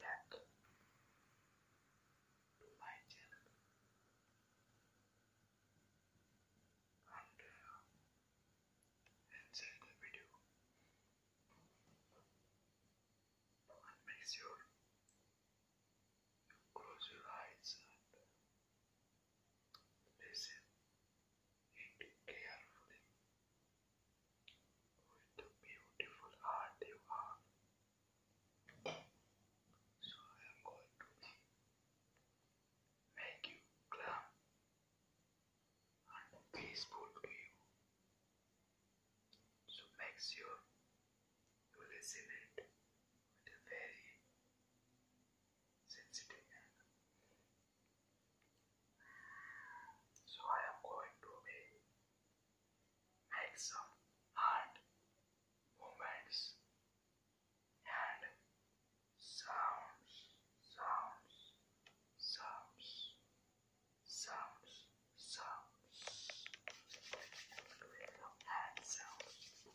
back to and uh, enjoy the video and make sure you close your eyes and listen it carefully. What a beautiful heart you have. So I am going to make you calm and peaceful to you. So make sure you listen it with a very sensitive and so I am going to make some hand movements and sounds, sounds, sounds, sounds, sounds. Hand sounds.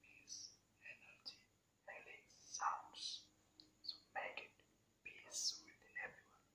peace, energy, healing sounds. So make it peace with everyone.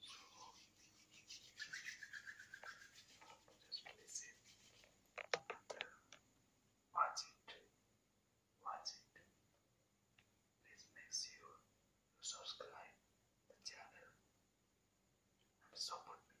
So just listen and it. Watch it. Please make sure you subscribe the channel and support me.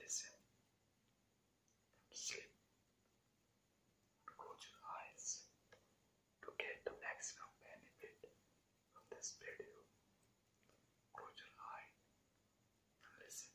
listen sleep close your eyes to get the maximum benefit from this video. Close your eye and listen.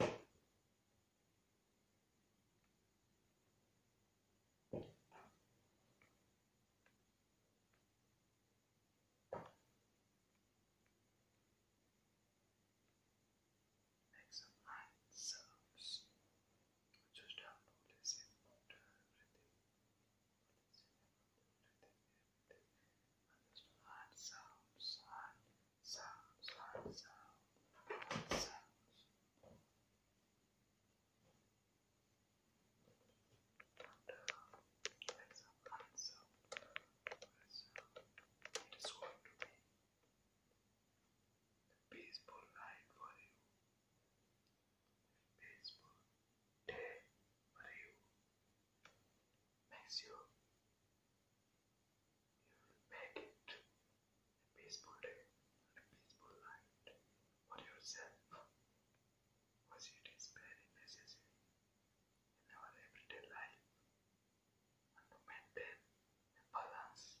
Make some light soaps. You just have to listen about everything. Listen about everything, everything. just add sounds, add sounds, add sounds, add sounds. And uh, that's an answer. to be a peaceful night for you peaceful day for you. Make sure you make it a peaceful day and a peaceful night for yourself, because it is very necessary in our everyday life and maintain a balance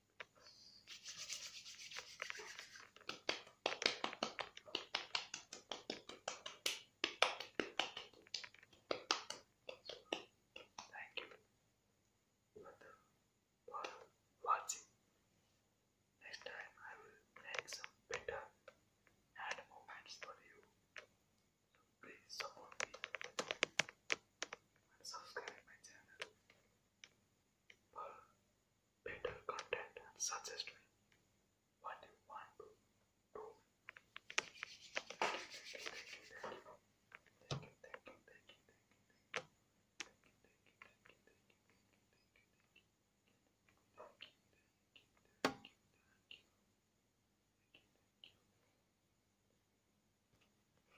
Thank you for watching. Next time I will make some better hand movements for you. please support me and subscribe my channel for better content and suggest me what you want to do. Thank you, thank you, thank you. Thank you, thank you, thank you, thank you, thank you. Thank you, thank you, thank you, thank you, thank you, thank you, thank you. Thank you, thank you, thank you. Thank you, thank you.